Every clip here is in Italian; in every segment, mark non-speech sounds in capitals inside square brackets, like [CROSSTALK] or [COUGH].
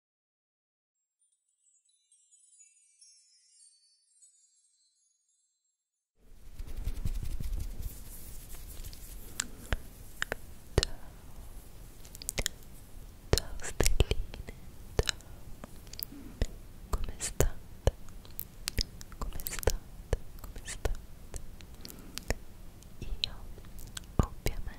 Ciao stelline, ciao. Come state? Come state? Come state? Io ovviamente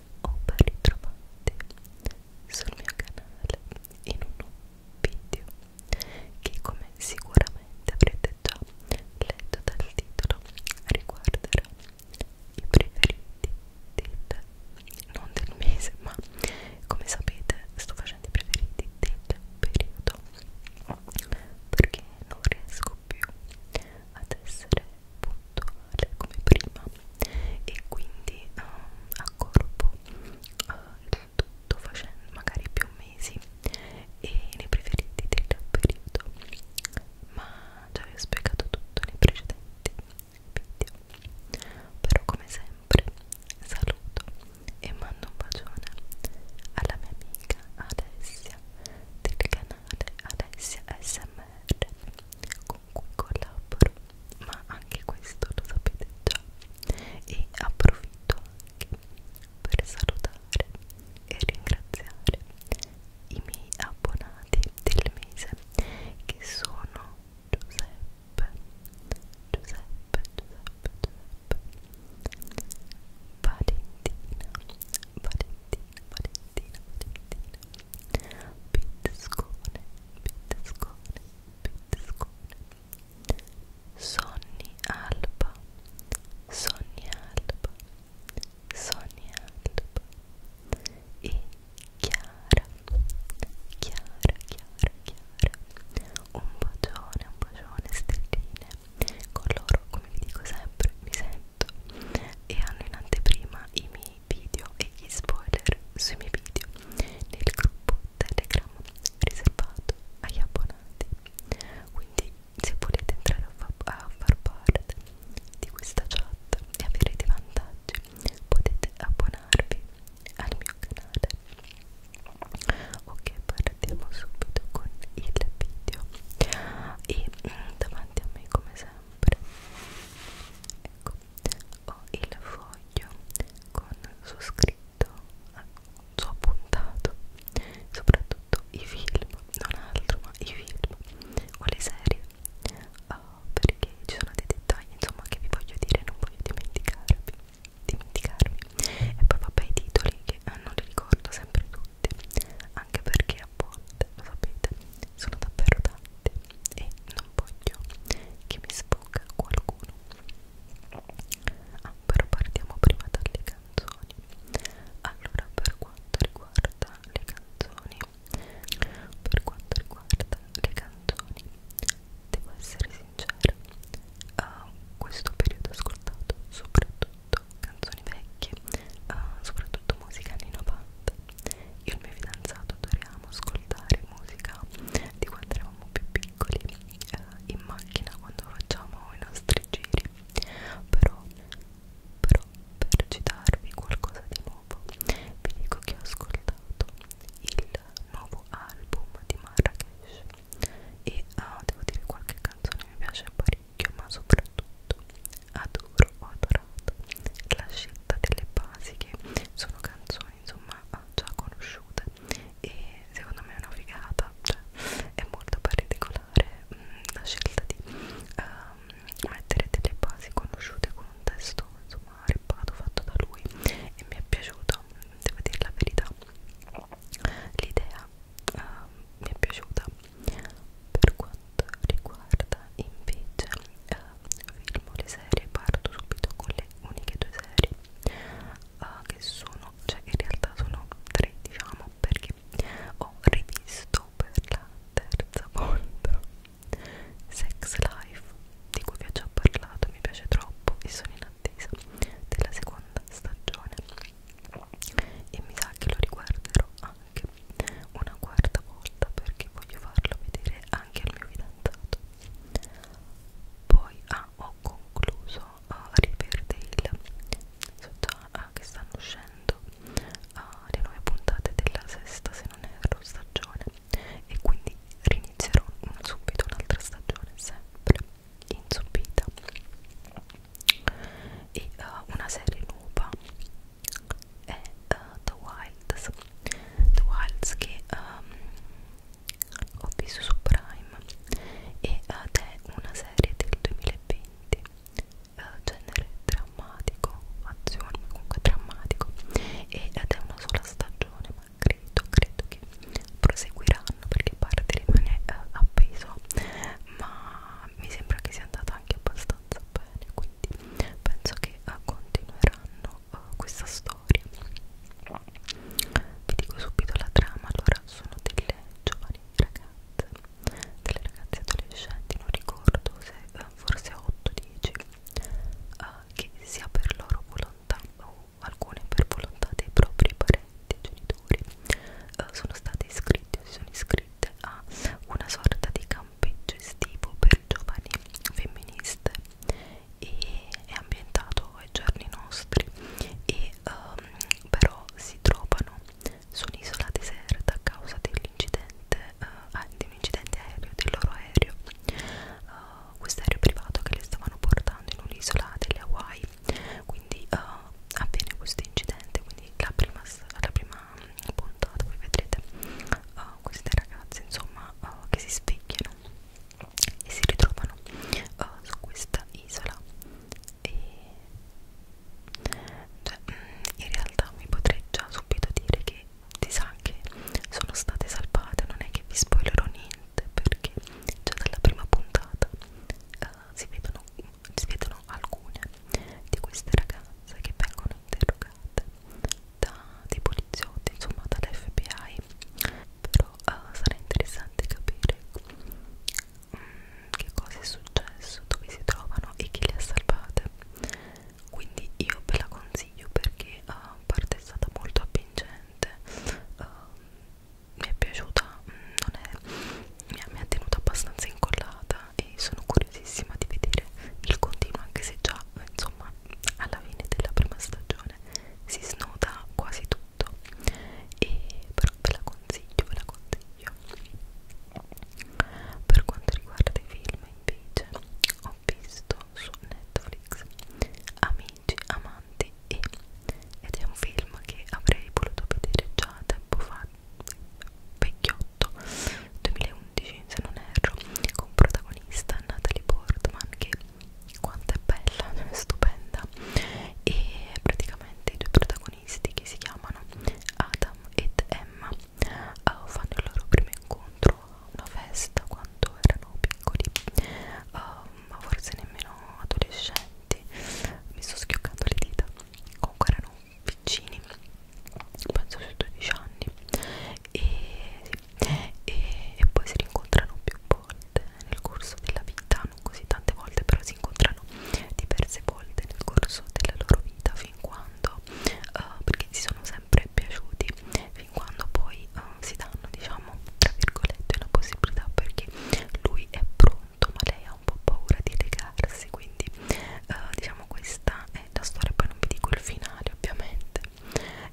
o ben ritrovati sul mio canale in un nuovo video che come sicuramente avrete già letto dal titolo riguarderà i preferiti del non del mese ma come sapete sto facendo i preferiti del periodo perché non riesco più ad essere puntuale come prima e quindi um, accorpo uh, il tutto facendo magari più mesi e nei preferiti del periodo ma già vi ho spiegato tutto nei precedenti video però come sempre saluto e mando un bacione alla mia amica Alessia del canale canale Alessia SMR con cui collaboro, ma anche questo lo sapete già e approfitto anche per salutare e ringraziare i miei abbonati del mese che sono Giuseppe, Giuseppe, Giuseppe, Giuseppe Valentina, Valentina, Valentina, Valentina Pizzcone, pizzcone, pizzcone Sonni alba, sonni alba, sonni alba E chiara, chiara, chiara, chiara Un bacione, un bacione, stelline Con loro, come vi dico sempre, mi sembra tutto e hanno in anteprima i miei video e gli spoiler sui miei video nel gruppo Telegram riservato agli abbonati. Quindi se volete entrare a, fa a far parte di questa chat e avere dei vantaggi potete abbonarvi al mio canale. Ok, partiamo subito con il video e mm, davanti a me come sempre sempre ecco ho il foglio con su scritto su appuntato soprattutto i film non altro ma i film o le serie oh, perché ci sono dei dettagli insomma che vi voglio dire non voglio dimenticarvi dimenticarmi e poi vabbè i titoli che eh, non li ricordo sempre tutti anche perché rapporti, lo sapete, sono davvero tanti e non voglio che mi sfugga qualcuno. Ah, però partiamo prima dalle canzoni. Allora, per quanto riguarda le canzoni, per quanto riguarda le canzoni, devo essere sincera, uh, questo periodo ho ascoltato soprattutto soprattutto canzoni vecchie, uh, soprattutto musica anni 90. Io e il mio fidanzato adoriamo ascoltare musica di quando eravamo più piccoli uh, in macchina quando facciamo i nostri giri. Però, però per citarvi qualcosa di nuovo, vi dico che ho ascoltato il nuovo album di Marrakesh e uh, devo dire qualche canzone mi piace parecchio parecchio ma soprattutto adoro ho adorato la scelta delle basi che sono canzoni insomma ah, già conosciute e secondo me è una figata cioè è molto particolare mh, mm, la scelta di um, mettere delle basi conosciute con un testo insomma ripato fatto da lui e mi è piaciuto devo dire la verità l'idea uh, mi è piaciuta per quanto riguarda invece uh, film o le serie parto subito con le uniche due serie uh, che sono cioè in realtà sono tre diciamo perché ho rivisto per la terza volta Sex Life di cui vi ho già parlato mi piace troppo e sono in attesa della seconda stagione e mi sa che lo riguarderò anche anche una quarta volta perché voglio farlo vedere anche al mio fidanzato poi ah, ho concluso uh, Riverdale so già ah, che stanno uscendo uh, le nuove puntate della sesta se non erro stagione e quindi rinizierò subito un'altra stagione sempre inzuppita e uh, una serie nuova è uh, The Wilds The Wilds che um, ho visto su Prime eh, ed è una serie del 2020 uh, genere drammatico azione comunque drammatico ed è una sola stagione ma credo credo che proseguiranno perché parte rimane uh, appeso ma mi sembra che sia andata anche abbastanza bene quindi penso che eh, continueranno uh, questa storia vi dico subito la trama allora sono delle giovani ragazze delle ragazze adolescenti non ricordo se uh, forse 8-10 uh, che sia per loro volontà o alcune per volontà dei propri parenti genitori uh, sono state iscritte o si sono iscritte Street ha una sorta di campeggio estivo per giovani femministe e è ambientato ai giorni nostri e um, però si trovano su un'isola deserta a causa dell'incidente uh, eh, ah, di un incidente aereo, del loro aereo uh, questo aereo privato che le stavano portando in un'isola delle Hawaii quindi uh, avviene questo incidente quindi la prima, la prima mm, puntata voi vedrete uh, queste ragazze insomma uh, che si svegliano e si ritrovano uh, su questa isola e cioè, mm, in realtà vi potrei già subito dire che si sa che sono state salvate non è che vi spoilerò niente perché già dalla prima puntata uh, si vedono si vedono alcune di queste ragazze che vengono interrogate da dei poliziotti, insomma dall'FBI però uh, sarà interessante capire um, che cosa è successo, dove si trovano e chi le ha salvate quindi io ve la consiglio perché eh, a uh, parte è stata molto avvincente uh, mi è piaciuta, mm, non è mi ha, mi ha tenuto abbastanza incollata e sono curiosissima di vedere il continuo anche se già insomma alla fine della prima stagione si snoda quasi tutto e però ve la consiglio ve la consiglio per quanto riguarda i film invece ho visto su Netflix Amici, Amanti e ed è un film che avrei voluto vedere già tempo fa vecchiotto 2011 se non erro con protagonista Natalie Portman che quanto è bella, cioè è stupenda e praticamente i due protagonisti che si chiamano Adam ed Emma uh, fanno il loro primo incontro a una festa quando erano piccoli uh, ma forse nemmeno adolescenti davanti mi sto schioccando le dita comunque erano piccini penso sui 12 anni e, sì, e, e poi si rincontrano più volte nel corso della vita non così tante volte però si incontrano diverse volte nel corso della loro vita fin quando uh, perché si sono sempre piaciuti fin quando poi uh, si danno diciamo tra virgolette una possibilità perché lui è pronto conto ma lei ha un po' paura di legarsi quindi eh, diciamo questa è la storia poi non vi dico il finale ovviamente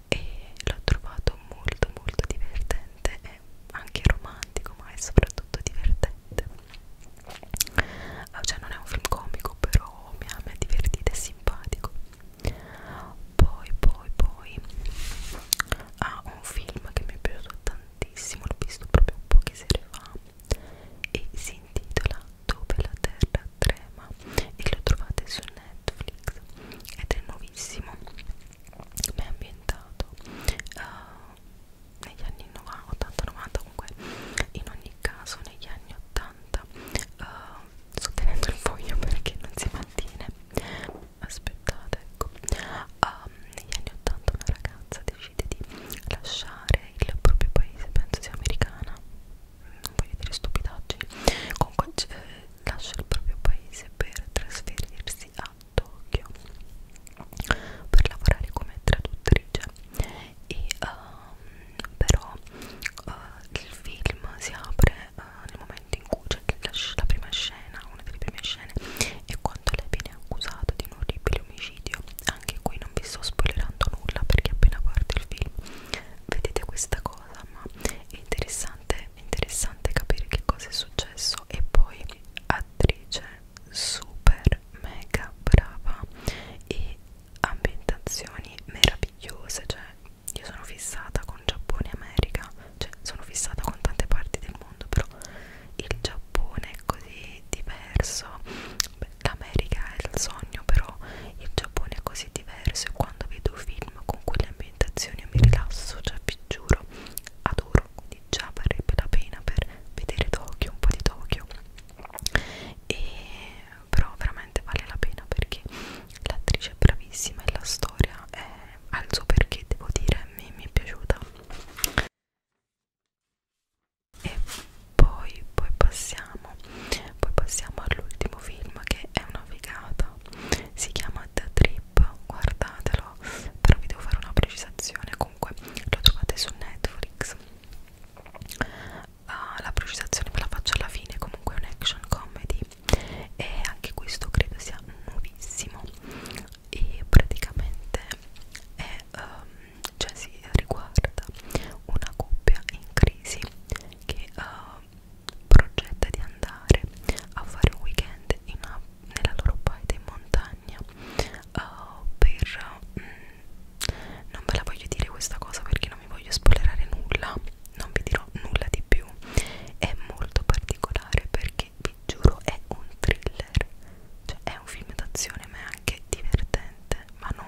e l'ho trovato molto molto divertente e anche romantico ma è soprattutto divertente eh, cioè non è un film comico però mi ha, mi ha divertito e simpatico poi poi poi ha ah, un film che mi è piaciuto tantissimo tantissimo, l'ho visto proprio poche sere fa e si intitola Dove la terra trema e lo trovate su Netflix ed è nuovissimo, ma è ambientato uh, negli anni 80-90 comunque in ogni caso negli anni 80 uh, eh, sto tenendo il foglio perché non si mantiene aspettate ecco um, negli anni 80 una ragazza decide di lasciare il proprio paese, penso sia americana, non voglio dire stupidaggini, comunque eh, lascia il proprio paese per trasferirsi a Tokyo per lavorare come traduttrice e um, però uh, il film si apre uh, nel momento in cui c'è cioè, la, la prima scena, una delle prime scene è quando lei viene accusata di un orribile di omicidio anche qui non vi sto spoilerando nulla perché appena parte il film vedete questa cosa ma è interessante, è interessante capire che cosa è successo e poi attrice super mega brava e ambientazioni meravigliose cioè io sono fissata con Giappone e America cioè sono fissata con tante parti del mondo però il Giappone è così diverso l'America è il sogno però il Giappone è così diverso e quando vedo film con quelle ambientazioni mi rilasso cioè vi giuro adoro quindi già varrebbe la pena per vedere Tokyo un po' di Tokyo e però veramente vale la pena perché l'attrice è bravissima e la storia è al suo perché devo dire mi, mi è piaciuta e poi, poi passiamo poi passiamo all'ultimo film che è una figata si chiama The Trip guardatelo però vi devo fare una precisazione comunque lo trovate su Netflix uh, la precisazione ve la faccio alla fine comunque è un action comedy e anche questo credo sia nuovissimo e praticamente è, um, cioè si riguarda una coppia in crisi che uh, progetta di andare a fare un weekend in una, nella loro paese in montagna uh, per um, non ve la voglio dire questa cosa perché non mi voglio spoilerare nulla non vi dirò nulla di più è molto particolare perché vi giuro è un thriller cioè è un film d'azione ma è anche divertente ma non,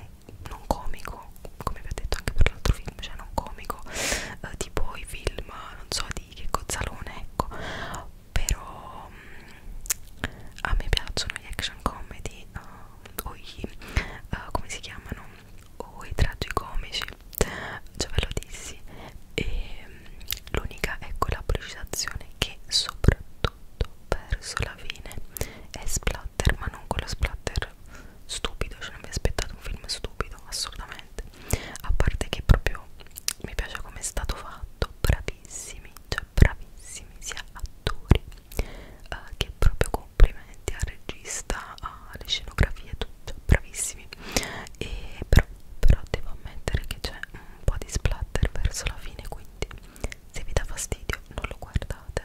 non comico come vi ho detto anche per l'altro film cioè non comico eh, tipo i film non so di che cozzalone ecco però mh, mm, a me piacciono gli action comedy uh, o gli uh, eh, come si chiamano o i tragicomici già ve lo dissi e L'unica ecco, è quella precisazione che soprattutto verso la fine è splatter, ma non quello splatter stupido, cioè non mi aspettato un film stupido, assolutamente. A parte che proprio mi piace come è stato fatto, bravissimi, cioè bravissimi sia attori eh, che proprio complimenti al regista, alle scenografie, tutto, bravissimi. E però, però devo ammettere che c'è un un po' di splatter verso la fine quindi se vi dà fastidio non lo guardate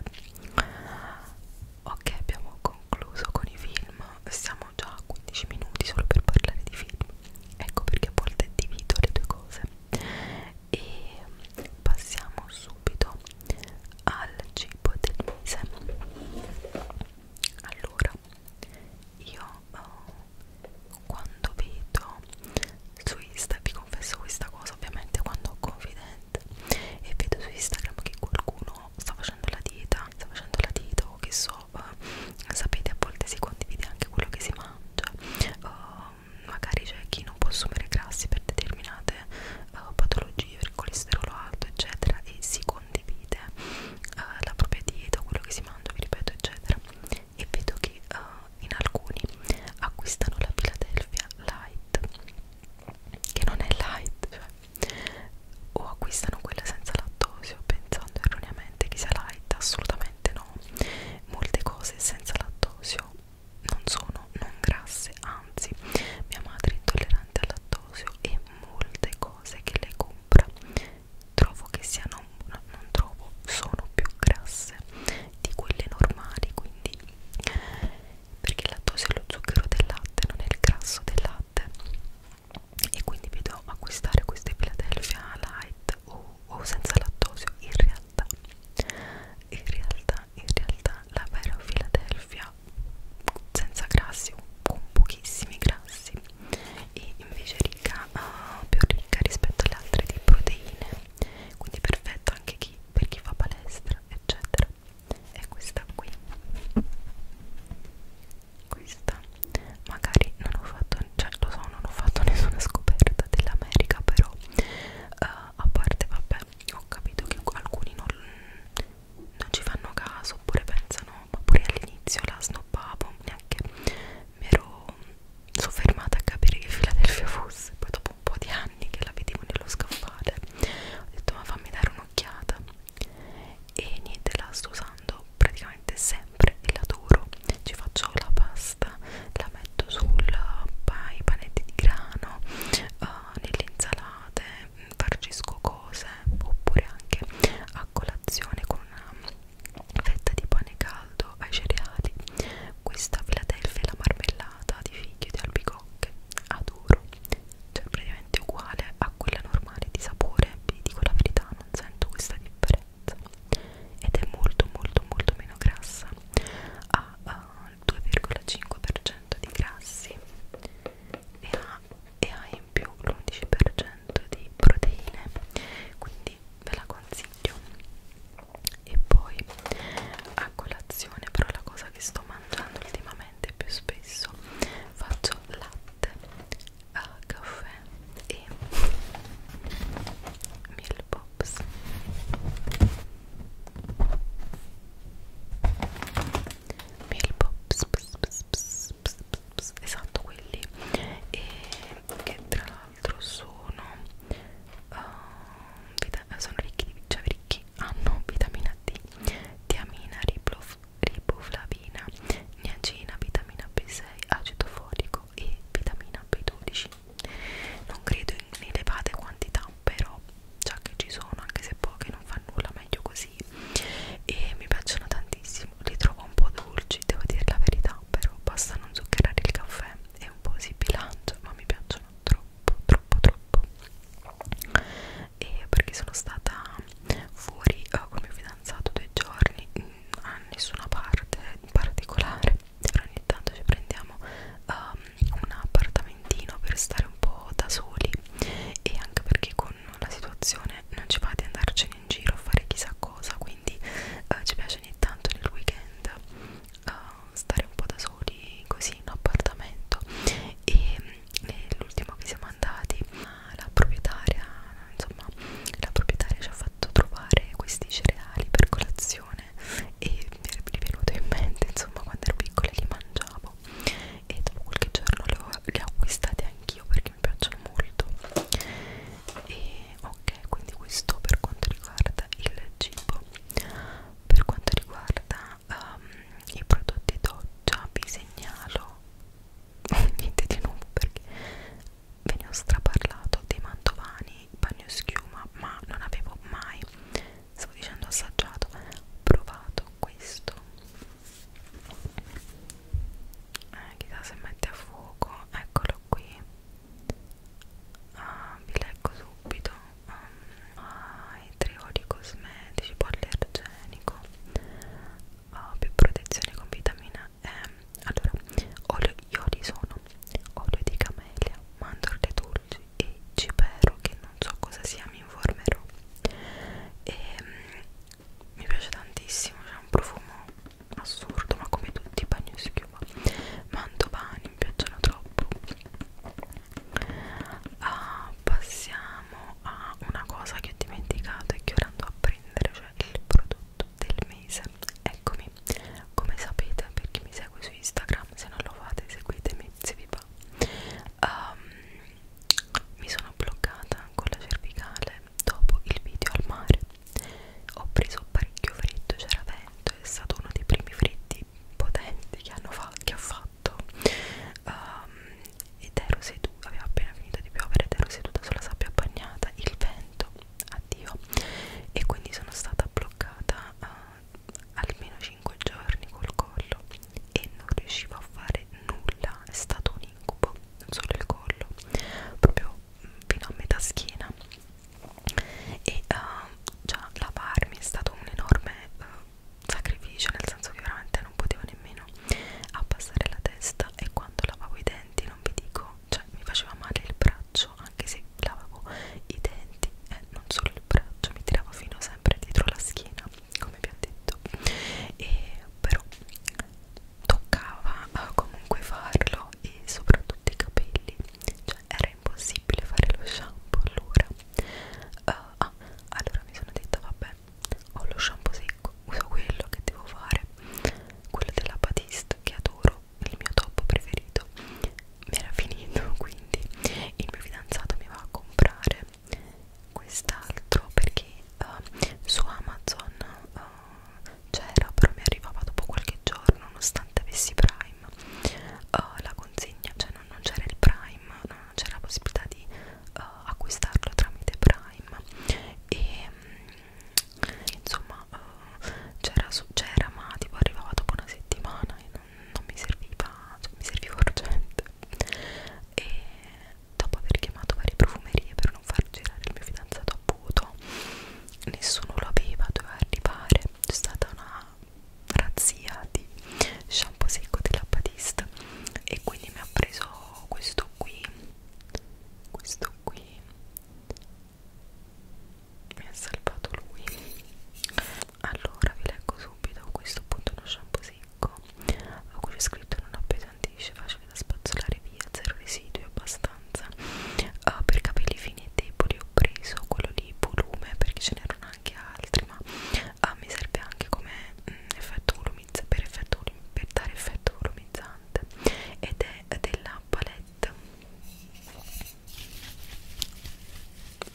ok abbiamo concluso con i film siamo già a 15 minuti solo per parlare di film ecco perché a volte divido le due cose e passiamo subito al cibo del mese allora io oh, quando vedo su Instagram, vi confesso questa cosa ovviamente quando ho confidente e vedo su Instagram che qualcuno sta facendo la dieta, sta facendo la dieta o che so, eh, sapete a volte si condivide anche quello che si mangia, eh, magari c'è chi non può assumere grassi per determinate eh, patologie, per il colesterolo alto eccetera e si condivide eh, la propria dieta, quello che si mangia, vi ripeto eccetera e vedo che uh, in alcuni acquistano la Philadelphia Light che non è light cioè, o acquistano quella senza lattosio pensando erroneamente che sia light assolutamente no molte cose senza lattosio non sono non grasse anzi mia madre è intollerante al lattosio e molte cose che lei compra trovo che siano no, non trovo sono più grasse di quelle normali quindi perché il lattosio è lo zucchero del latte non è il grasso del latte e quindi vi do acquistare queste Philadelphia light o, oh, o oh, senza lattosio in realtà in realtà in realtà la vera Philadelphia senza grassi con pochissimi grassi e invece ricca, uh, più ricca rispetto alle altre di proteine quindi perfetta anche chi, per chi fa palestra eccetera è questa qui questa magari non ho fatto cioè lo so non ho fatto [LAUGHS] nessuna scoperta dell'America però uh, a parte vabbè ho capito che alcuni non, non ci fanno caso oppure pensano ma pure all'inizio la snobbavo, neanche mi ero soffermata a capire che Philadelphia fosse, poi dopo un po' di anni che la vedevo nello scaffale ho detto ma fammi dare un'occhiata e niente, la sto usando praticamente sempre e la adoro, ci faccio la pasta, la metto sul pai, panetti di grano, uh, nelle insalate, mm, farcisco cose oppure anche a colazione con una fetta di pane caldo ai cereali, questa Philadelphia è la marmellata di fichi di albicocche, adoro, cioè praticamente uguale a quella normale di sapore, vi dico la verità, non sento questa differenza ed è molto molto molto meno grassa, ha uh, il 2,5% di grassi e ha, e ha in più l'11% di proteine quindi ve la consiglio e poi a colazione però la cosa che sto mangiando ultimamente più spesso faccio latte a eh, caffè e meal pops meal pops pss, pss, pss pss, pss, pss, esatto quelli e che tra l'altro sono uh, sono ricchi di cioè ricchi hanno vitamina D tiamina riblof, riboflavina niacina vitamina B6 acido folico e vitamina B12 non credo in elevate quantità però già che ci sono anche se poche non fa nulla meglio così e mi piacciono tantissimo li trovo un po' dolci, devo dire la verità, però basta non zuccherare il caffè e un po' si bilancia, ma mi piacciono troppo, troppo, troppo. E perché sono stata fuori oh, con il mio fidanzato due giorni, mm, a nessuna parte in particolare, però ogni tanto ci prendiamo um, un appartamentino per stare un po' da soli e anche perché con piacciono la situazione non ci va di andarcene in giro a fare chissà cosa quindi eh, ci piace ogni tanto nel weekend eh, stare un po' da soli così in appartamento e mm, l'ultimo che siamo andati la proprietaria insomma la proprietaria ci ha fatto trovare questi cereali per colazione e mi è venuto in mente insomma quando ero piccola li mangiavo e dopo qualche giorno li ho, li ho acquistati anch'io perché perché mi piacciono molto e ok quindi questo per quanto riguarda il cibo per quanto riguarda um, i prodotti doccia vi segnalo [LAUGHS] niente di nuovo perché ve ne ho straparlato dei mantovani bagno schiuma ma non avevo mai stavo dicendo assaggiato provato questo eh, chissà se mette a fuoco eccolo qui ah, vi leggo subito um, ah, i tre oli cosmetici poliargenico ah, più protezione con vitamina E allora olio, gli oli sono olio di camelia mandorle dolci e cipero che non so cosa sia mi informerò e ehm, mi piace tantissimo c'è un profumo assurdo ma come tutti i bagno si chiuma mantovani mi piacciono troppo ah, passiamo a una cosa che ho dimenticato e che ora andrò a prendere cioè il prodotto del mese eccomi come sapete per chi mi segue su instagram se non lo fate seguitemi se vi va um, mi sono bloccata con la cervicale dopo il video al mare ho preso parecchio freddo, c'era vento, è stato uno dei primi freddi potenti che, hanno fa che ho fatto um, ed ero seduta, aveva appena finito di piovere ed ero seduta sulla sabbia bagnata, il vento, addio e quindi sono stata bloccata uh, almeno 5 giorni col collo e non riuscivo a fare nulla, è stato un incubo, non solo il collo, proprio mm, fino a metà schiena e uh, già lavarmi è stato un enorme uh, sacrificio nel senso che veramente non potevo nemmeno abbassare la testa e quando lavavo i denti non vi dico cioè mi faceva male il braccio anche se lavavo i denti e eh, non solo il braccio mi tirava fino sempre dietro la schiena come vi ho detto e però toccava uh, comunque farlo e soprattutto i capelli cioè era impossibile fare lo shampoo allora uh, ah, allora mi sono detta vabbè ho lo shampoo secco uso quello che devo fare quello della Batiste che adoro il mio top preferito mi era finito [LAUGHS] quindi il mio fidanzato mi va a comprare quest'altro perché uh, su Amazon uh, c'era però mi arrivava dopo qualche giorno nonostante avessi Prime uh, la consegna cioè non, non c'era il Prime non, non c'era la possibilità di uh, acquistarlo tramite Prime e um, insomma uh, c'era ma tipo arrivava dopo una settimana e non, non mi serviva cioè mi serviva urgente e dopo aver chiamato varie profumerie per non far girare il mio fidanzato a puto nessuno lo aveva, doveva arrivare c'è stata una razzia di shampoo secco della Batista e quindi mi ha preso questo qui questo qui mi ha salvato lui allora vi leggo subito questo appunto è uno shampoo secco secco a cui c'è scritto non appesantisce facile da spazzolare via zero residui abbastanza uh, per capelli fini e deboli ho preso quello lì volume perché ce n'erano anche altri ma uh, mi serve anche come mh, mm, effetto volumizzante per, effetto, per dare effetto volumizzante ed è della palette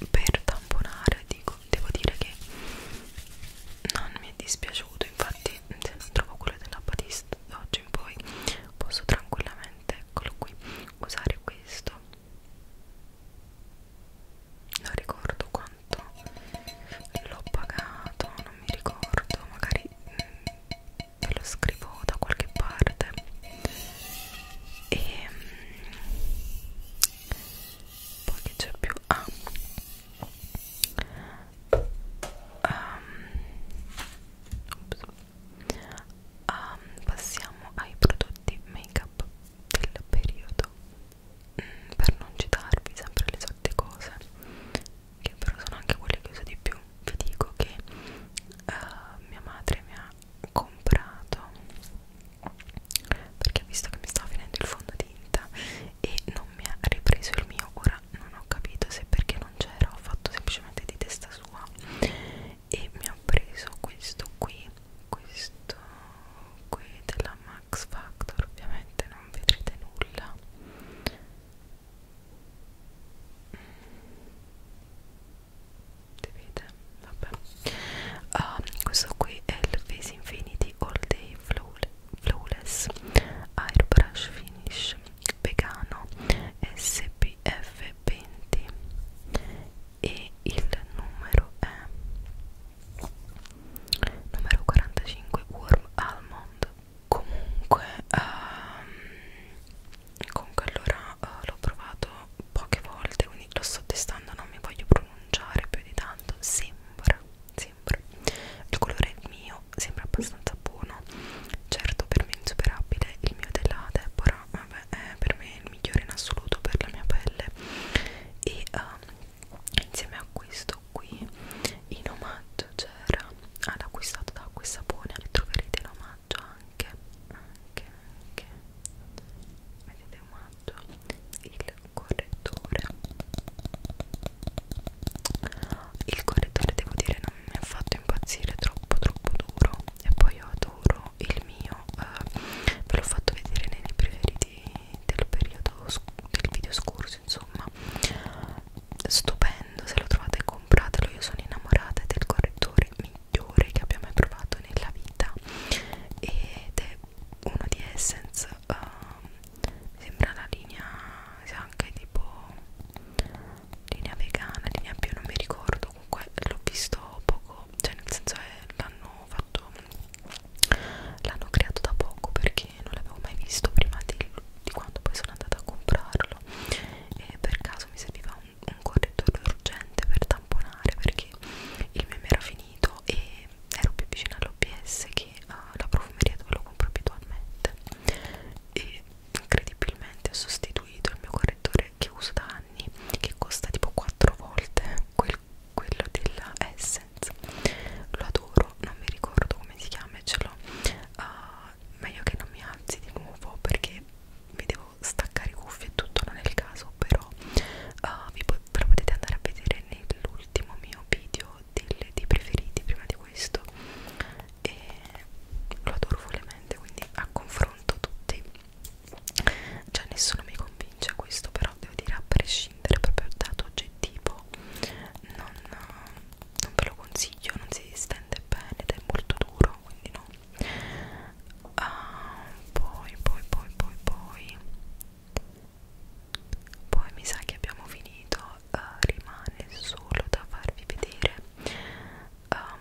per tamponare di ecco devo dire che non mi è dispiaciuto infatti se non trovo quello della Batiste da oggi in poi posso tranquillamente eccolo qui usare questo non ricordo quanto l'ho pagato non mi ricordo magari mh, mm, ve lo scrivo da qualche parte e ehm, mh, poi che c'è più ah um, um, passiamo ai prodotti make up del periodo mm, per non citarvi sempre le solite cose che però sono anche quelle che uso di più vi dico che uh, mia madre mi ha comprato perché ha visto che mi stava finendo il fondotinta e non non mi ha ripreso il mio ora non ho capito se perché non c'era ho fatto semplicemente di testa sua e mi ha preso questo qui questo qui della Max Factor ovviamente non vedrete nulla si vede? vabbè um, questo qui è il Face Infinity All Day Flawless Flawless Airbrush Finish Vegano SPF20 e il numero è numero 45 Warm Almond comunque um, comunque allora uh, l'ho provato poche volte quindi lo sto testando non mi voglio pronunciare più di tanto sembra sempre il colore mio sembra abbastanza buono certo per me insuperabile il mio della Deborah vabbè, è per me il migliore in assoluto per la mia pelle e uh, insieme a questo qui in omaggio c'era all'acquistato ah, da acqua e sapone troverete in omaggio anche anche anche vedete omaggio il correttore il correttore devo dire non mi ha fatto impazzire troppo troppo duro e poi io adoro il mio eh, ve l'ho fatto vedere nei miei preferiti del periodo del video scorso insomma stupendo se lo trovate compratelo io sono innamorata del correttore migliore che abbia mai provato nella vita ed è uno di Essence uh, ehm, mi sembra la linea se anche tipo linea vegana linea più non mi ricordo comunque l'ho visto poco cioè nel senso che l'hanno fatto l'hanno creato da poco perché non l'avevo mai visto prima di, di quando poi sono andata a comprarlo e per caso mi serviva un, un correttore urgente per tamponare perché il meme era finito e ero più vicina all'OBS che anche alla eh, profumeria dove lo compro abitualmente e incredibilmente ho sostituito il mio correttore che uso da anni che costa tipo 4 volte quel, quello della Essence lo adoro, non mi ricordo come si chiama e ce l'ho uh, meglio che non mi alzi di nuovo perché mi devo staccare i cuffie e tutto non è il caso però uh, vi, ve lo potete andare a vedere nell'ultimo mio video delle, dei preferiti prima di questo e lo adoro follemente quindi a confronto tutti cioè nessuno mi convince questo però devo dire a prescindere proprio da oggettivo non, non ve lo consiglio non si stende bene ed è molto duro quindi no ah, poi poi poi poi poi poi mi sa che abbiamo finito uh, rimane solo da farvi vedere um,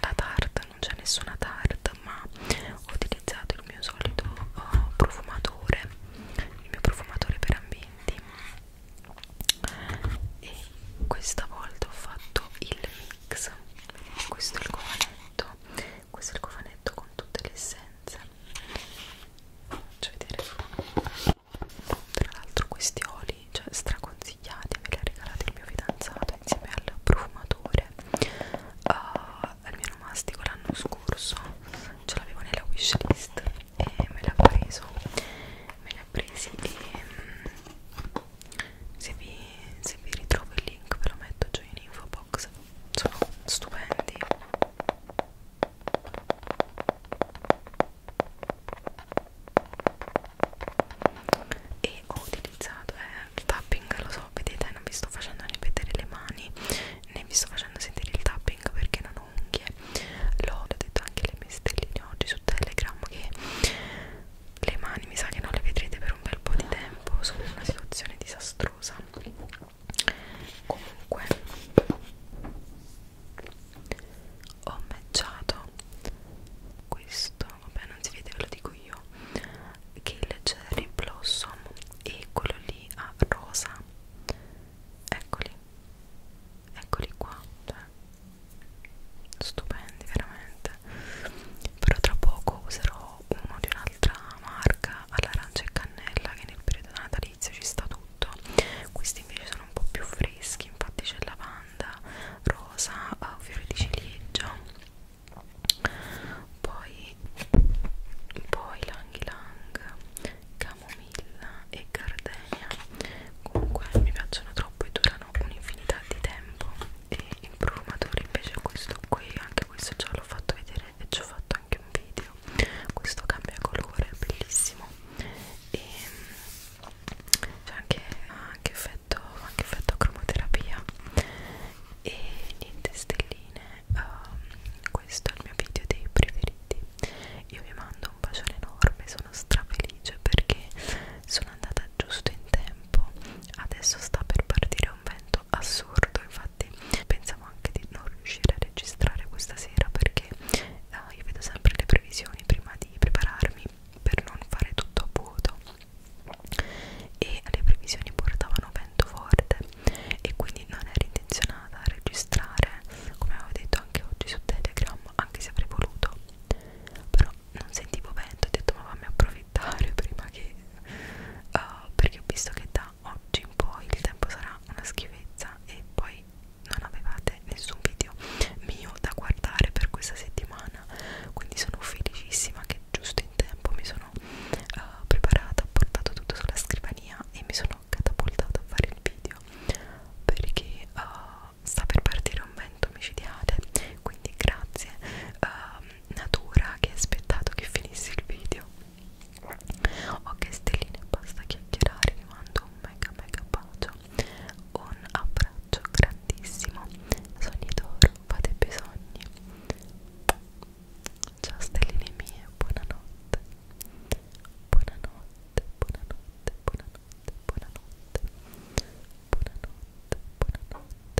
la tarta non c'è nessuna tarta ma ho utilizzato il mio solito uh, profumatore il mio profumatore per ambienti e questa volta ho fatto il mix questo è il cofanetto questo è il cofanetto con tutte le essenze faccio vedere tra l'altro questi oli cioè straconsigliati me li ha regalati il mio fidanzato insieme al profumatore uh, al mio nomastico l'anno scorso ce l'avevo nella wishlist e me l'ha preso me li ha presi e mm, se vi, se vi ritrovo il link ve lo metto giù in info box sono stupendi e ho utilizzato eh, il tapping lo so vedete non vi sto facendo né vedere le mani né vi sto facendo sentire il tapping perché non ho unghie l'ho detto anche le mie stelline oggi su telegram che le mani mi sa che non le vedrete per un bel po' di tempo sono in una situazione disastrosa rosa comunque ho matchato questo vabbè non si vede ve lo dico io che il cherry blossom e quello lì a rosa eccoli eccoli qua cioè, stupendi veramente però tra poco userò uno di una un'altra marca all'arancia e cannella che nel periodo natalizio ci sta tutto questi invece sono un po' più freschi infatti c'è lavanda, rosa, eh, fiore di ciliegio poi, poi lang ylang, camomilla e gardenia comunque mi piacciono troppo e durano un'infinità di tempo e in profumatori invece questo qui anche questo già l'ho fatto vedere e ci ho fatto anche un video questo cambia colore è bellissimo e mm, c'è anche, anche effetto anche effetto cromoterapia e niente stelline um, questo è il mio video dei preferiti io vi mando un bacione enorme sono strafelice perché sono andata giusto in tempo adesso sta per partire un bel momento assurdo infatti pensavo anche di non riuscire a registrare questa sera perché uh, io vedo sempre le previsioni prima di prepararmi per non fare tutto a vuoto e le previsioni portavano vento forte e quindi non ero intenzionata a registrare come avevo detto anche oggi su Telegram anche se avrei voluto però non sentivo vento ho detto ma fammi approfittare prima che uh, uh, perché ho visto che da oggi in poi il tempo sarà una schifezza e poi non avevate nessun video mio da guardare per questa settimana quindi sono felicissima che giusto in tempo mi sono uh, preparata ho portato tutto sulla scrivania e mi sono catapultata a fare il video perché uh, sta per partire un vento micidiale quindi grazie uh, natura che ha aspettato che finissi il video ok stelline basta chiacchierare vi mando un mega mega bacio un abbraccio grandissimo sogni d'oro fate i bisogni ciao stelline mie buonanotte buonanotte buonanotte buonanotte buonanotte buonanotte buonanotte